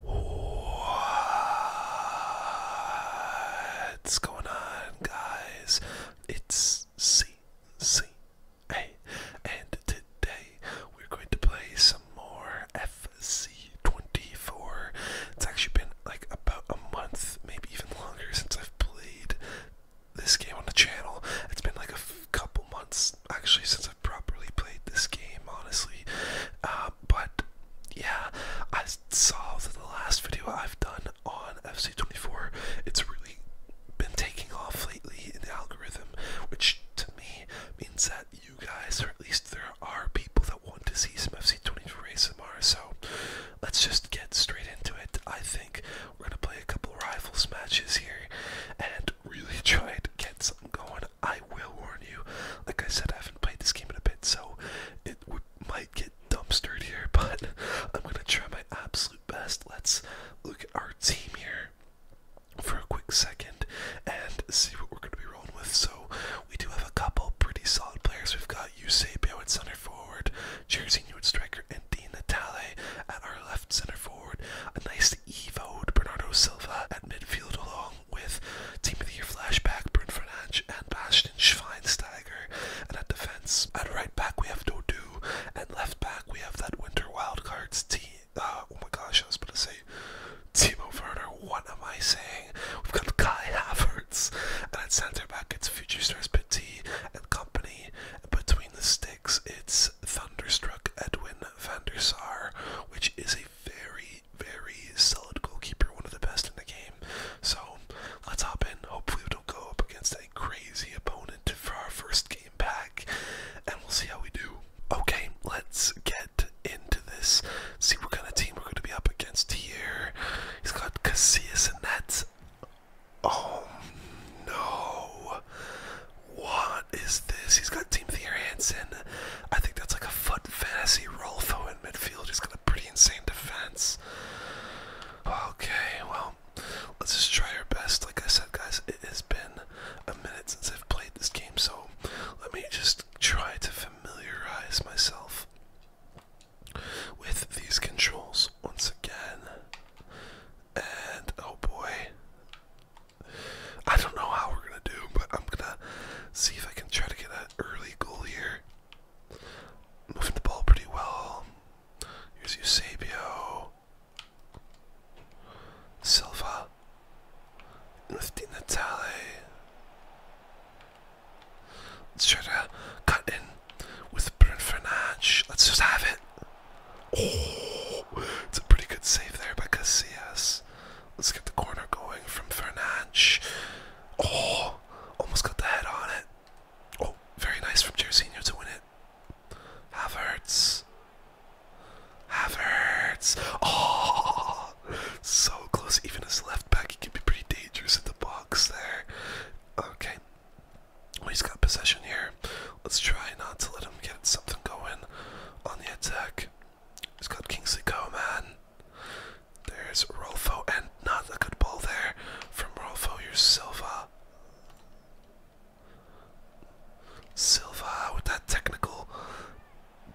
What's going on, guys? It's CCA, and today we're going to play some more FC24. It's actually been like about a month, maybe even longer, since I've played this game on the channel. It's been like a couple months actually since I've properly played this game, honestly. Um, but yeah, I saw that the last video I've done on FC24, it's really been taking off lately in the algorithm, which to me means that you guys, or at least there are people that want to see some FC24 ASMR. So let's just get straight into it. I think we're gonna play a couple rival matches here and really try to get something going. I will warn you. Like I said, I haven't played this game in a bit, so it might get dumpstered here, but I'm gonna try my absolute best. Let's look at our team here for a quick second and see what we're gonna be rolling with. So we do have a couple pretty solid players. We've got Eusebio at center forward, Jairzinho at striker, and Dina Tale at our left center forward. A nice Evoed Bernardo Silva at midfield along with Timothy of flashback, Brun Fernandes and Bastian Schweinsteiger. And at defense, at right back, we have Dodu. And left back, we have that Winter Wildcards team. Uh, oh my gosh, I was about to say Timo Werner. What am I saying? We've got Kai Havertz. And at center back, it's Future Stars Petit and Company. between the sticks, it's Thunderstruck Edwin van der Sar, which is a very, very solid goalkeeper, one of the best in the game. So let's hop in. Hopefully, we don't go up against a crazy opponent for our first game back, and we'll see how we do. Okay, let's get into this. See what kind of team we're going to be up against here. He's got Casillas and that's. Oh no! What is this? He's got Team Theor Hansen. I think that's like a fun fantasy Rolfo in midfield. He's got a pretty insane defense. Okay, well, let's just try our best. Like I said, guys, it has been a minute since I've played this game, so let me just try to familiarize myself with these controls once again. And oh boy. I don't know how we're gonna do, but I'm gonna see if I can try to get an early goal here. Moving the ball pretty well. Here's Eusebio. Silva. With Di Natale. Let's try to cut in with Bruno Fernandes. Let's just have it. Oh, it's a pretty good save there by Casillas. Let's get the corner going from Fernandes. Oh, almost got the head on it. Oh, very nice from Jairzinho to win it. Havertz. Havertz. Oh, so close. Even his left back, he can be pretty dangerous in the box there. Okay. he's got possession here. Let's try not to let him get something going on the attack. He's got Kingsley Coman. There's Rolfo, and not a good ball there from Rolfo. Here's Silva. Silva with that technical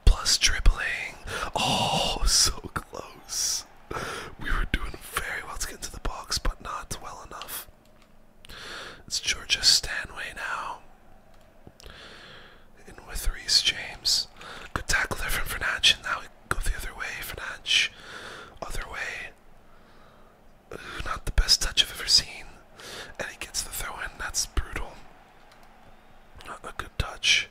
plus dribbling. Oh, so close. We were doing very well to get into the box, but not well enough. It's Georgia Stanway now in with Reese James. Good tackle there from Fernandes, and now we go the other way. Fernandes, other way. Ooh, not the best touch I've ever seen. And he gets the throw in. That's brutal. Not a good touch.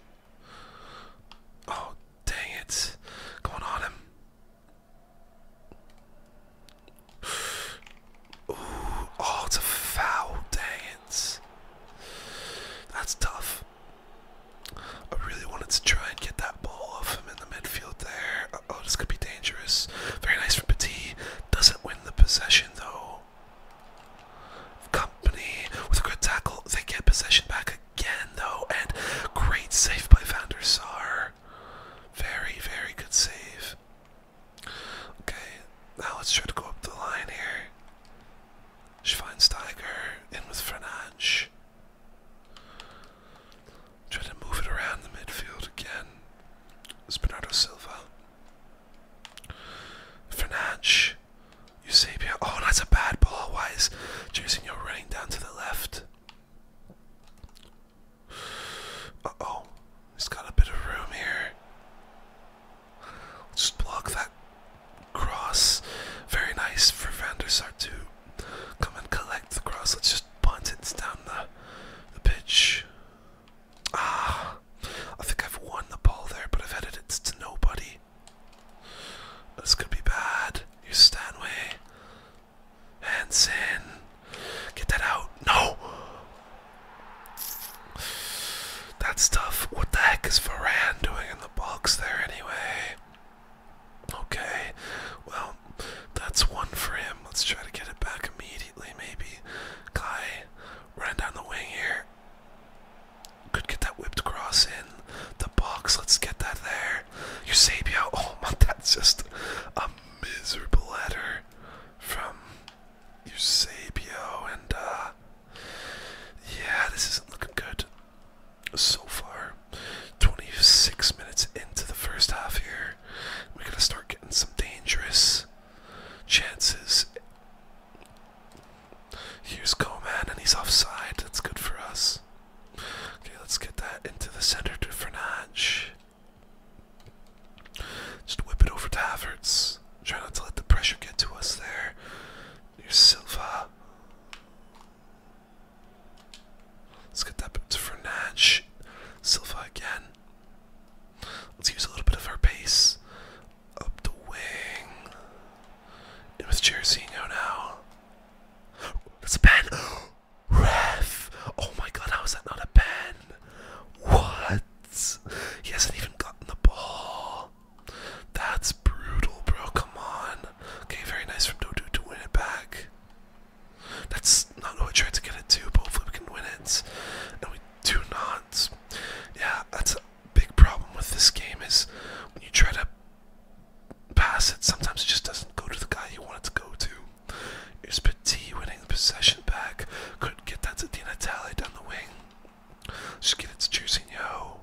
Oh, dang it. Going on him. Ooh, oh, it's a foul. Dang that's tough. I really wanted to try and get that ball off him in the midfield there. oh, this could be dangerous. Very nice for Petit. Doesn't win the possession though. Company with a good tackle. They get possession back again though. And great save by Van der Sar. Very, very good save. Okay, now let's try to go up the line here. Schweinsteiger in with Frenange. Try to move it around the midfield again. It's Bernardo Silva. Frenange. Eusebio. Oh, that's a bad ball. Why is Jairzinho running down to the left? Uh oh. He's got a bit of room here. Just block that cross. Very nice for Van der Sar to come and collect the cross. Let's just punt it down the, the pitch. Ah, I think I've won the ball there, but I've headed it to nobody. This could be bad. Here's Stanway. Hansen. Get that out. No! That's tough. What the heck is Varane doing in the box there anyway? Okay, well, that's one for him. Let's try to get it back immediately, maybe. Kai, run down the wing here. Could get that whipped cross in the box. Let's get that there. Eusebio, oh man, that's just a miserable letter from Eusebio and uh yeah, this isn't looking good so far. 26 minutes into the first half here. We're going to start getting some dangerous chances. Here's Coman, and he's offside. That's good for us. Okay, let's get that into the center to Fernandes. Just whip it over to Havertz. Try not to let the pressure get to us there you Silva. Let's get that to Fernandes. Silva again. Let's use a little bit of our pace. Up the wing. It was Jairzinho now. That's a Ref! Oh my god, how is that not a pen? What? He hasn't even gotten the ball. That's brutal, bro. Come on. Okay, very nice from Dodu to win it back. That's not who I tried to get it to, but hopefully we can win it. And we do not. Yeah, that's a big problem with this game is when you try to pass it, sometimes it just doesn't go to the guy you want it to go to. It's Petit winning the possession back. Could get that to Dina Talley down the wing. Skillets choosing yo.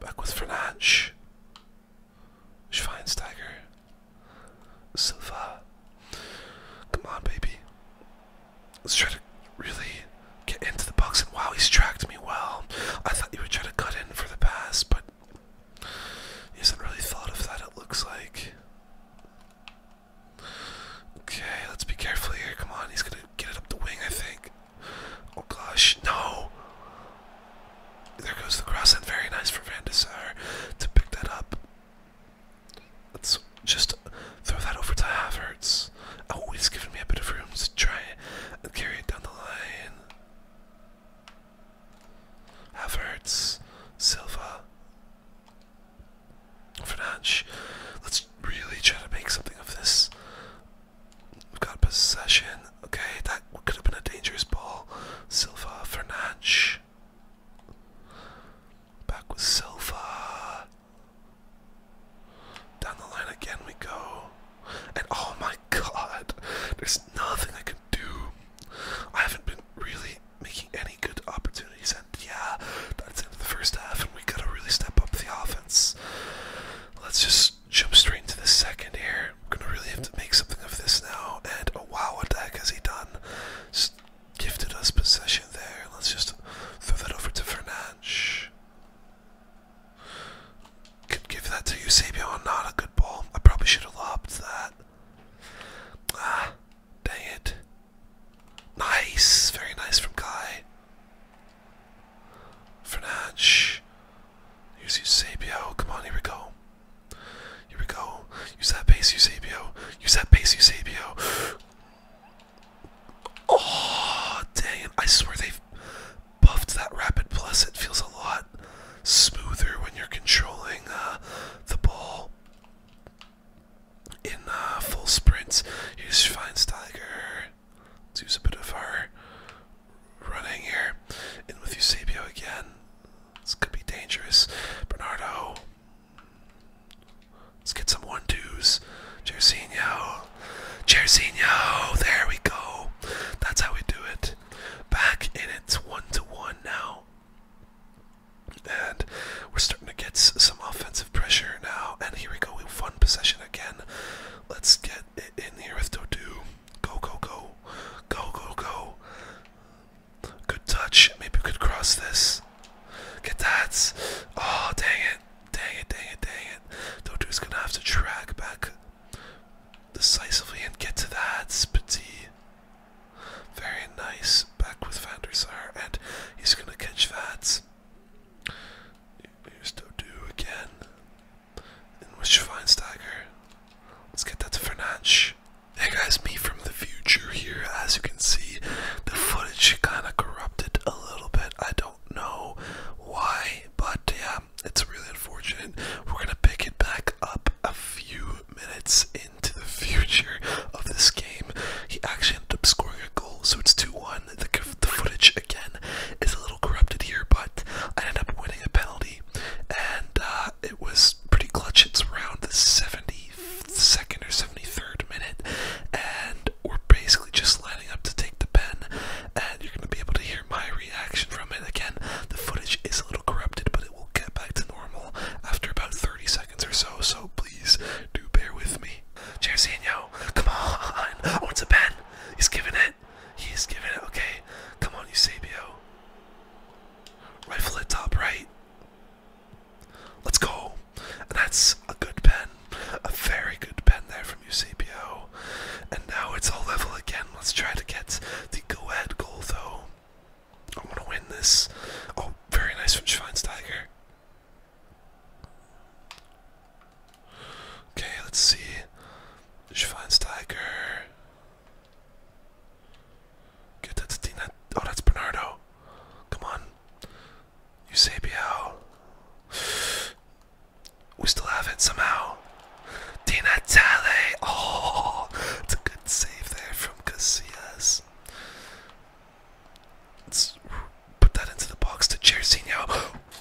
Back with Frenach. Schweinsteiger. Silva. Come on, baby. Let's try to really get into the box. And wow, he's tracked me well. I thought he would try to cut in for the pass, but he hasn't really thought of that, it looks like. Okay, let's be careful here. Come on, he's gonna get it up the wing, I think. Oh gosh, no! There goes the cross, and very nice for Van Desire to pick that up. Let's just throw that over to Havertz. Oh, he's given me a bit of room to try and carry it down the line. Havertz, Silva, French. Let's really try to make something of this. We've got possession. Okay, that could have been a dangerous ball. Silva, Fernandes. Back with Silva. Down the line again we go. And oh my god, there's nothing I can do. I haven't been really making any good opportunities yeah, that's the end of the first half, and we gotta really step up the offense. Let's just jump straight into the second here. We're gonna really have to make something of this now. And wow, what the heck has he done? gifted us possession there. Let's just throw that over to Fernandes. Could give that to Eusebio. Not a good ball. I probably should have lobbed that. Ah, Dang it. Nice. Very nice from Guy. Fernandes. Here's Eusebio. Come on, here we go. Here we go. Use that pace, Eusebio. Use that base, Eusebio. Oh, dang it. I swear they've buffed that rapid plus. It feels a lot smoother when you're controlling uh, the ball in uh, full sprints. Here's Schweinsteiger. Let's use a bit of our running here. In with Eusebio again. This could be dangerous. Bernardo. Let's get some one twos. Jerzinho. Jerzinho. There we go. That's how we do it. Back in it's one to one now. And we're starting to get some offensive pressure now. And here we go. We fun possession again. Let's get it in here with Dodu. Go, go, go. Go, go, go. Good touch. Maybe we could cross this. Get that. Oh, dang it. Dang it, dang it, dang it. Dodu's going to have to track back decisively and get to that. Petit. Very nice. Back with Van der Sar. And he's going to catch that. Here's Dodu again. And with Schweinsteiger. Let's get that to Fernandes. Hey guys, me from the future here. As you can see, the footage kind of corrupted a little bit. I don't know why, but yeah, it's really unfortunate. We're gonna pick it back up a few minutes into the future of this game. He actually ended up scoring a goal, so it's 2 1. The, footage again is a little corrupted here, but I ended up winning a penalty, and uh, it was pretty clutch. It's around the 72nd or 73rd minute, and we're basically just lining up to take the pen, and you're going to be able to hear my reaction from it. Again, the footage is a little corrupted, but it will get back to normal after about 30 seconds or so, so please do bear with me baby. yo! come on. Oh, it's a pen. He's giving it. He's giving it. Okay. Come on, Eusebio. Rifle it top right. Let's go. And that's a good pen. A very good pen there from Eusebio. And now it's all level again. Let's try to get the go ahead goal, though. I want to win this. Oh, very nice from Schweinsteiger. Okay, let's see. Schweinsteiger. Get that's Dina. Oh, that's Bernardo. Come on. Eusebio. We still have it somehow. Dina Tale. Oh, it's a good save there from Casillas. Let's put that into the box to Jersey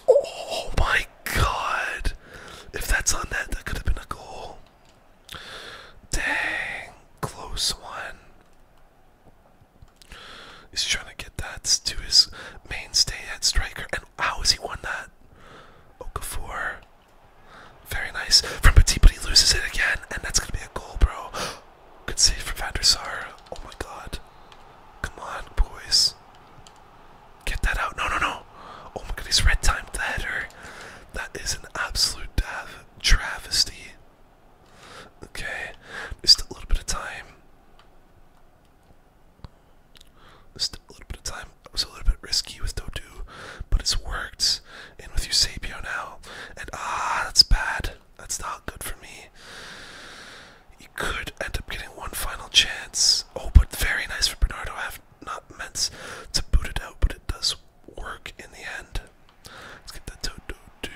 Oh my god. If that's on that, that could have been a goal. Dang. Close one. He's trying to get that to his mainstay at striker. And how has he won that? Okafor. Very nice. From Petit, but he loses it again. And that's going to be a goal, bro. Good save from Van der Sar. Oh my god. Come on, boys. Get that out. No, no, no. Oh my god, he's red timed the header. That is an absolute travesty. Okay, just a little bit of time. Just a little bit of time. It was a little bit risky with Dodu, but it's worked. And with Eusebio now. And ah, that's bad. That's not good for me. You could end up getting one final chance. Oh, but very nice for Bernardo. I have not meant to boot it out, but it does work in the end. Let's get that to do do.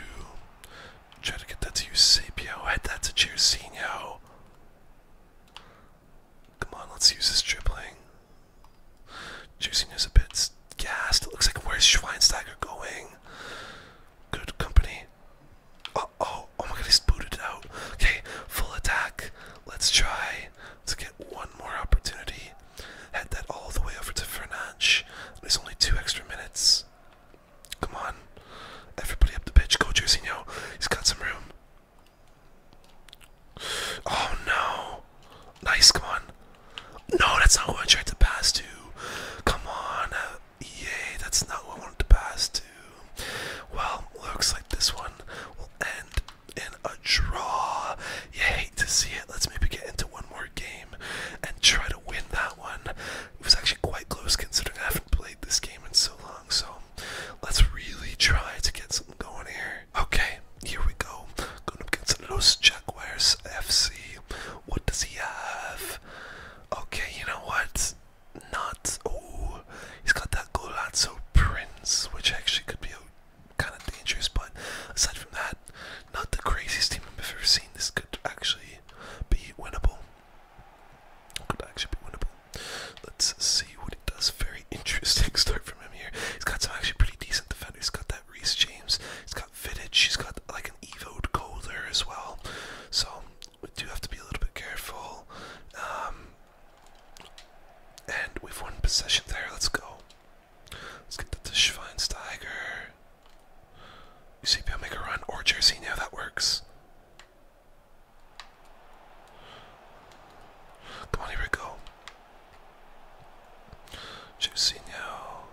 Try to get that to Eusebio. Oh, head that to Jairzinho. Come on, let's use this dribbling. Jairzinho's a bit gassed. It looks like where's Schweinsteiger going? Good company. Oh, oh, oh my god, he's booted out. Okay, full attack. Let's try to get one more opportunity. Head that all the way over to Fernandes. There's only two extra minutes. Come on. Everybody up the pitch. Go, Jerzinho. He's got some room. Oh no. Nice, come on. No, that's not who I tried to pass to. Come on. Yay, that's not what I wanted to pass to. Well, looks like this one will end in a draw. You hate to see it. Let's maybe get into one more game and try to win that one. It was actually quite close considering I haven't played this game in so long, so let's really try to get something going here. Okay, here we go. Going to up against Los Jaguars FC. What does he have? Okay, you know what? Not. Oh, he's got that Golazo Prince, which actually could be kind of dangerous, but aside from that, not the craziest team I've ever seen. This could actually be winnable. Could actually be winnable. Let's see what it does. Very interesting start from him here. He's got some actually pretty decent defenders. He's got that Reese James. He's got got fitted. She's got like an evoed colder as well, so we do have to be a little bit careful. Um, and we've won possession there. Let's go. Let's get to Schweinsteiger. Eusebio make a run or Jersey now that works. Come on, here we go. Juicy now.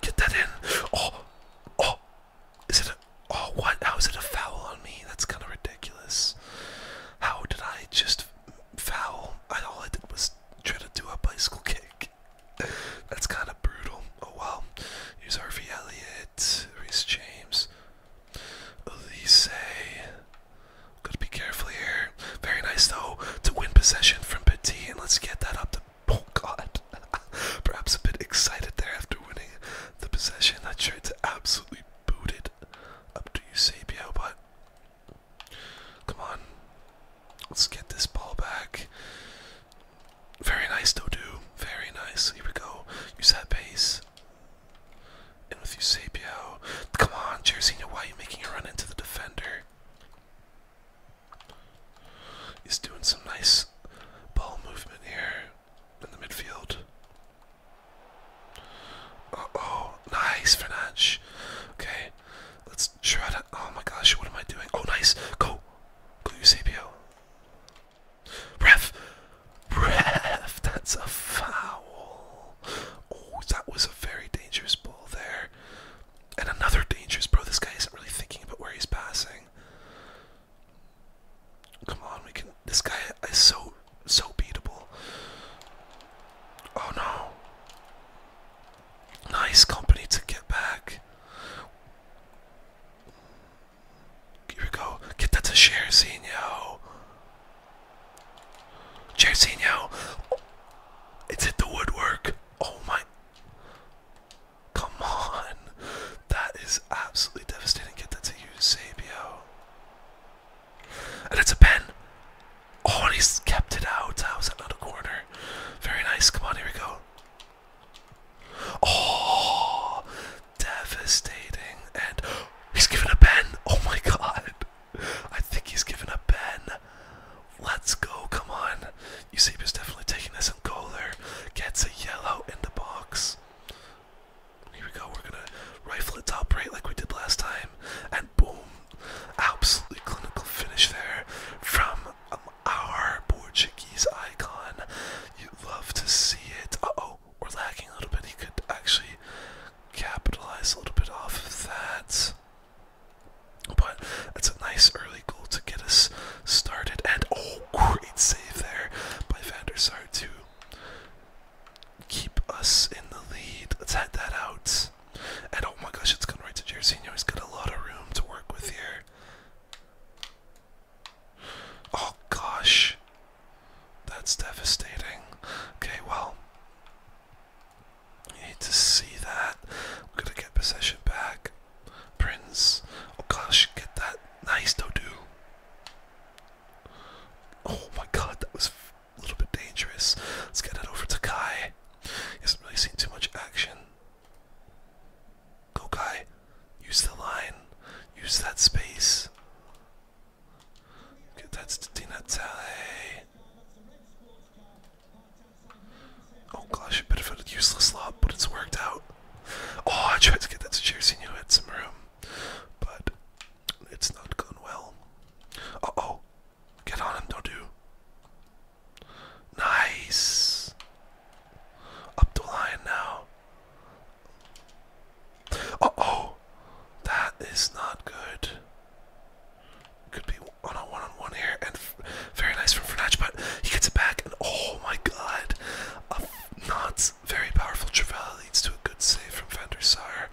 Get that in. Oh, oh, is it? A, oh, what? How is it a foul on me? That's kind of ridiculous. How did I just foul? I, all I did was try to do a bicycle kick. That's kind of brutal. Oh well. Here's Harvey Elliott, Reese James, Elise. Gotta be careful here. Very nice though to win possession from Petit, and let's get that up to Oh God! Perhaps a bit excited there after winning the possession, I tried to absolutely boot it up to Eusebio, but come on, let's get this ball back. Very nice, Dodu. Very nice. Here we go. Use that base. And with Eusebio, come on, Jairzinho, why are you making a run into the defender? He's doing some nice ball movement here in the midfield. Uh oh, nice, Fernandes. Okay, let's try Oh my gosh, what am I doing? Oh, nice. Go. Go, Eusebio. Ref. Ref, that's a foul. Oh, that was a very dangerous ball there. And another dangerous bro. This guy isn't really thinking about where he's passing. Come on, we can. This guy is so so beatable. Oh no! Nice company to get back. Here we go. Get that to Jairzinho. Jairzinho. Oh, it's hit the woodwork. Oh my. Come on. That is absolutely devastating. Get that to you, Sabio. And it's a pen. Oh, he's kept it out. How's that not a corner? Very nice. Come on, here we go. Oh, devastating. And he's given a pen. Oh my god. I think he's given a pen. Let's go, come on. Eusebius definitely taking this and Kohler gets a yellow in the box. Here we go, we're gonna rifle it top right like we did last time. And boom, absolutely clinical finish there from um, our Portuguese icon. You would love to see it. Uh oh, we're lacking a little bit. He could actually capitalize a little bit off of that. But it's a nice early goal to get us started. And oh, great save there by Van der to keep us in the lead. Let's head that out. And oh my gosh, it's gone right to Jairzinho. He's got a lot of room to work with here. Oh gosh. That's devastating. Okay, well. You hate to see that. We're gonna get possession back. Prince. Oh gosh, get that nice Dodu. Oh my god, that was a little bit dangerous. Let's get it over to Kai. He hasn't really seen too much action. Go Kai. Use the line. Use that space. Okay, that's Tina Tale. Oh gosh, a bit of a useless lob, but it's worked out. Oh, I tried to get that to Jairzinho had some room, but it's not gone well. Uh oh, get on him, don't do. Nice. Up the line now. Uh oh, that is not good. Could be on a one-on-one -on -one here, and very nice from Fernach, but he gets it back, and oh my god, a not very powerful Travella leads to a good save from Van der Sar.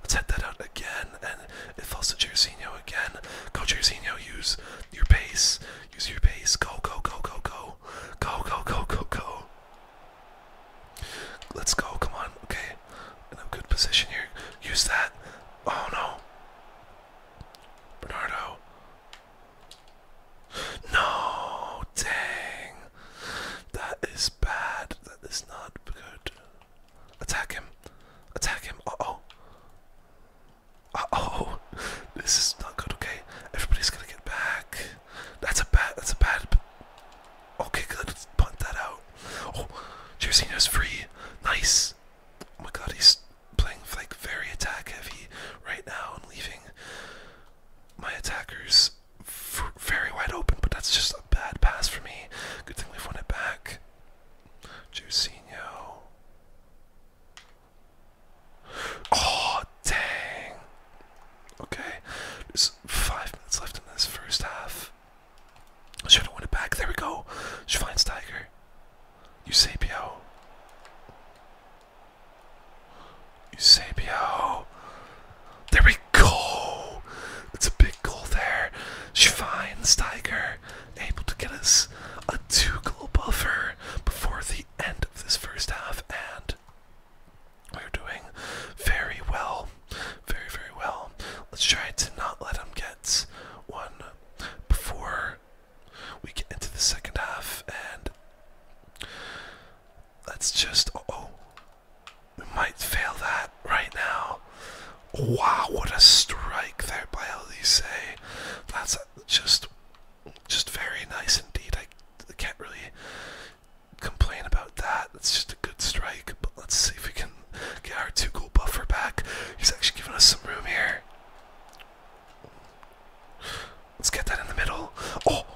Let's head that out again, and it falls to Jairzinho again. Go Jairzinho, use your pace, use your pace, go, go, go, go, go, go, go, go, go, go. Let's go, come on, okay. In a good position here. Use that. Oh no. Bernardo. No, dang. That is bad. That is not good. Attack him. Attack him. Uh oh. Uh oh. This is not good, okay? Everybody's gonna get back. That's a bad. That's a bad. Okay, good. Let's punt that out. Oh, Jersey is free. Nice. Oh my god, he's playing like very attack heavy right now and leaving my attackers very wide open, but that's just a bad pass for me. Good thing we've won it back. Jusinho. Oh, dang. Okay, there's five minutes left in this first half. Should have won it back. There we go. Schweinsteiger. Eusebio. Eusebio. There we go. It's a big goal there. Schweinsteiger able to get us a two goal buffer before the end of this first half, and we're doing very well. Very, very well. Let's try to not let them get one before we get into the second half and let's just. Oh, oh, we might fail that right now. Wow, what a strike there by Elise. That's just, just very nice indeed. I can't really complain about that. It's just a good strike. But let's see if we can get our two goal buffer back. He's actually giving us some room here. Let's get that in the middle. Oh,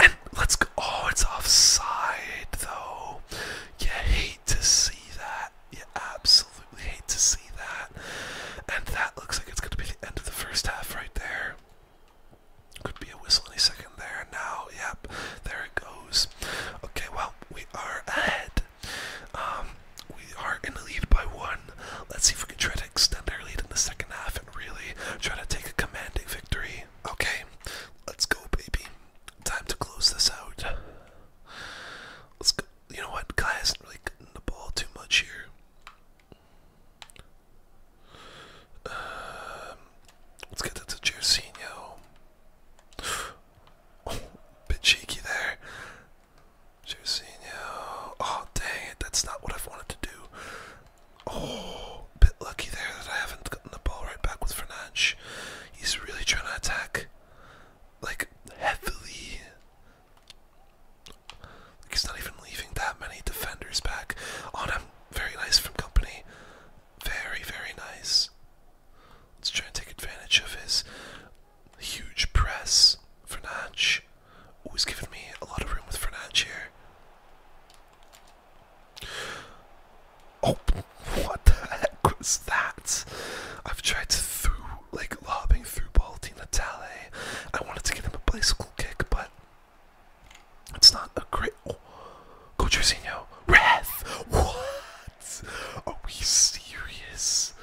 and let's go. Oh, it's offside though. You hate to see that. You absolutely hate to see that. And that looks like it's going to be the end of the first half right there. Could be a whistle any second there. Now, yep, there it goes. Okay, well, we are ahead um, we are in the lead by one. Let's see if we can try to extend our lead in the second half and really try to take a commanding victory. Okay, let's go, baby. Time to close this out. Let's go. You know what? Guy hasn't really gotten the ball too much here. Um, let's get that to Jersinho. bit cheeky there. Jorginho. Oh, dang it. That's not what I've wanted to do. Oh, bit lucky there that I haven't gotten the ball right back with Fernandes. He's really trying to attack, like, heavily. Like he's not even leaving that many defenders back on him. Very nice from company. Very, very nice. Let's try and take advantage of his Huge press. Fernandes. Oh, he's given me a lot of room with Fernandes here. Oh, what the heck was that? I've tried to through, like, lobbing through ball to Natale. I wanted to give him a bicycle kick, but it's not a great. Oh, go Jorginho. Wrath! What? Are we serious?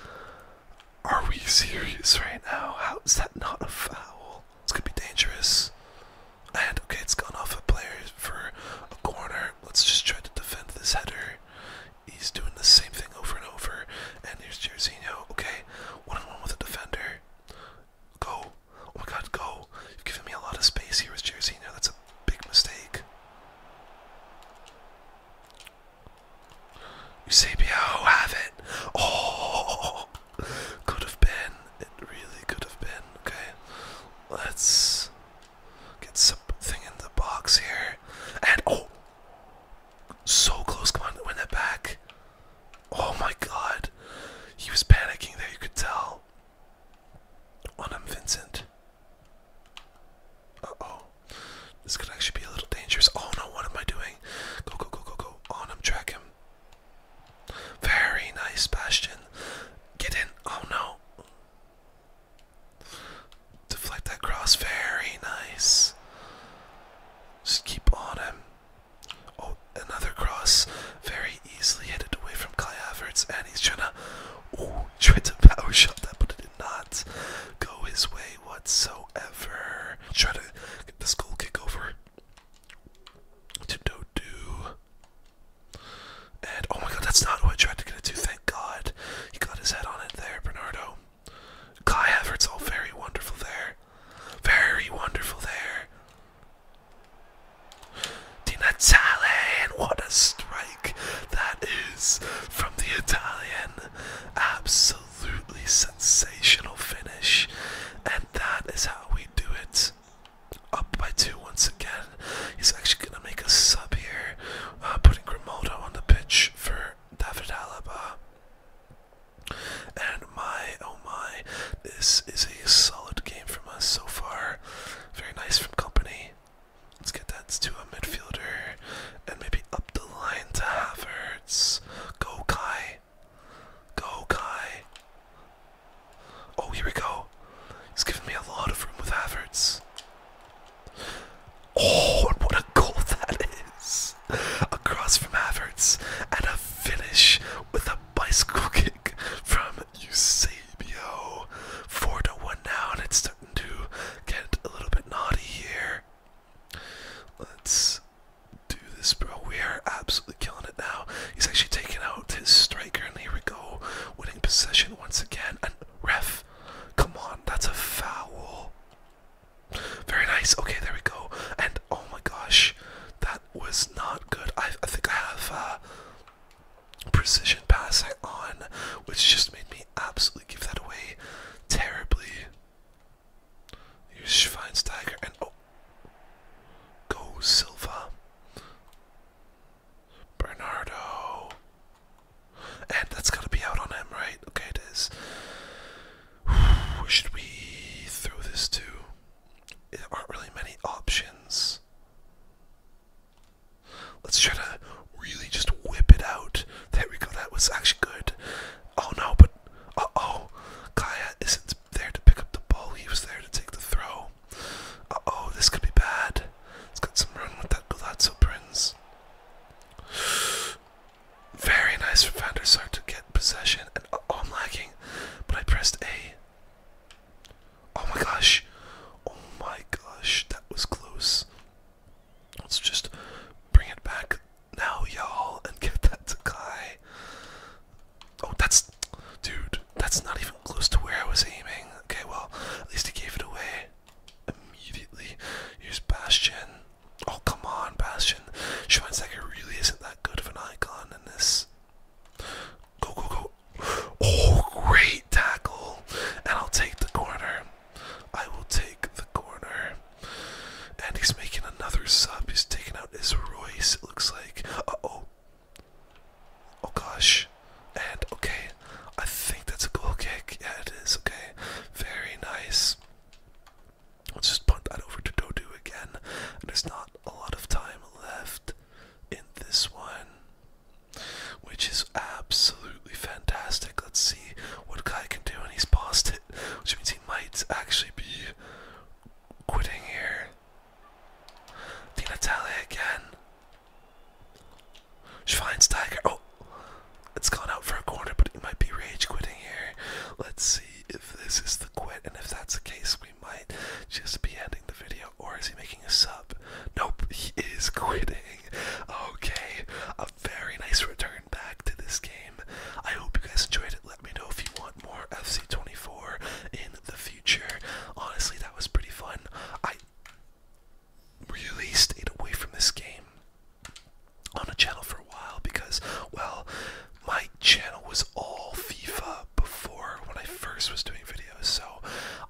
Are we serious right now? How is that not a foul? It's gonna be dangerous. And okay, it's gone off a player for a corner. Let's just try to defend this header. He's doing the same thing over and over. And here's Jairzinho. Okay, one on one with a defender. Go. Oh my god, go. You've given me a lot of space here with Jairzinho. That's a big mistake. Eusebio, oh, have it. Oh, could have been. It really could have been. Okay, let's get something in the box here. And oh, so close. Come on, win it back. Oh my god. He was panicking there, you could tell. On him, Vincent. Uh oh. This could actually be a little dangerous. Oh no, what am I doing? Go, go, go, go, go. On oh, him, track him. Very nice, Bastion. Get in. Oh no. Deflect that cross. Very nice. Just keep on him. Oh, another cross. Very easily hit it away from Kai Havertz. And he's trying to. Oh, tried to power shot that, but it did not go his way whatsoever. Try to get the school kick over to Dodu. And oh my god, that's not who I tried to get it to. Thank god. He got his head on it there, Bernardo. Kai all oh, very wonderful there. Very wonderful there. Di Natale, what a strike that is from the Italian. Absolutely absolutely sensational finish, and that is how we do it. Up by two once again. He's actually gonna make a sub here, uh, putting Grimaldo on the pitch for David Alaba. And my oh my, this is a solid game from us so far. Very nice from company. Let's get that to a midfielder and maybe up the line to Havertz. Go Kai. Go Kai. Oh, here we go. He's given me a lot of room with Havertz. Oh, and what a goal that is! Across from Havertz, and a finish with a bicycle kick from Eusebio. 4 to 1 now, and it's starting to get a little bit naughty here. Let's do this, bro. We are absolutely killing it now. He's actually taking out his striker, and here we go. Winning possession once again. And ref, come on, that's a foul. Very nice. Okay, there we go. And oh my gosh, that was not good. I, I think I have uh, precision passing on, which just made me absolutely give that away terribly. Use Schweinsteiger and oh, go Silva, Bernardo, and that's gotta be out on him, right? Okay, it is. Should we throw this to? There aren't really many options. Let's try to really just whip it out. There we go. That was actually good. Oh no, but. Uh oh, Kaya isn't there to pick up the ball, he was there to take the throw. Uh oh, this could be bad. It's got some run with that Galazzo Prince. Very nice for Van to get possession, and oh, I'm lagging, but I pressed A. Oh my gosh, oh my gosh, that was close. Let's just bring it back now, y'all, and get that guy. Oh, that's. Dude, that's not even close to where I was aiming. Okay, well, at least he gave it away immediately. Here's Bastion. Oh, come on, Bastion. Schweinsteiger really isn't that good of an icon in this. Go, go, go. Oh, great tackle. And I'll take the corner. I will take the corner. And he's making another sub. He's taking out his Royce, it looks like. oh. Oh gosh. And okay. I think that's a goal kick. Yeah, it is. Okay. Very nice. Let's just punt that over to Dodo again. there's not a lot of time left in this one. Which is absolutely fantastic. Let's see what Kai can do, and he's passed it which means he might actually be quitting here. Di Natale again. Tiger. Oh, it's gone out for a corner, but he might be rage quitting here. Let's see if this is the quit, and if that's the case, we might just be ending the video. Or is he making a sub? Nope, he is quitting. Okay, very nice return back to this game. I hope you guys enjoyed it. Let me know if you want more FC24 in the future. Honestly, that was pretty fun. I really stayed away from this game on a channel for a while because, well, my channel was all FIFA before when I first was doing videos, so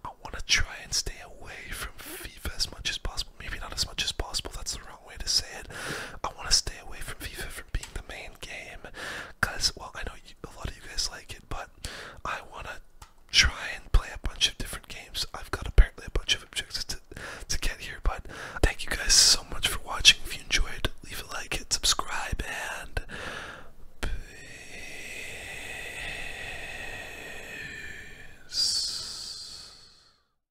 I want to try and stay away from FIFA as much as possible. Maybe not as much as possible, that's the way to say it. I want to stay away from FIFA from being the main game, cause well, I know a lot of you guys like it, but I want to try and play a bunch of different games. I've got apparently a bunch of objectives to to get here, but thank you guys so much for watching. If you enjoyed, leave a like, hit subscribe, and peace.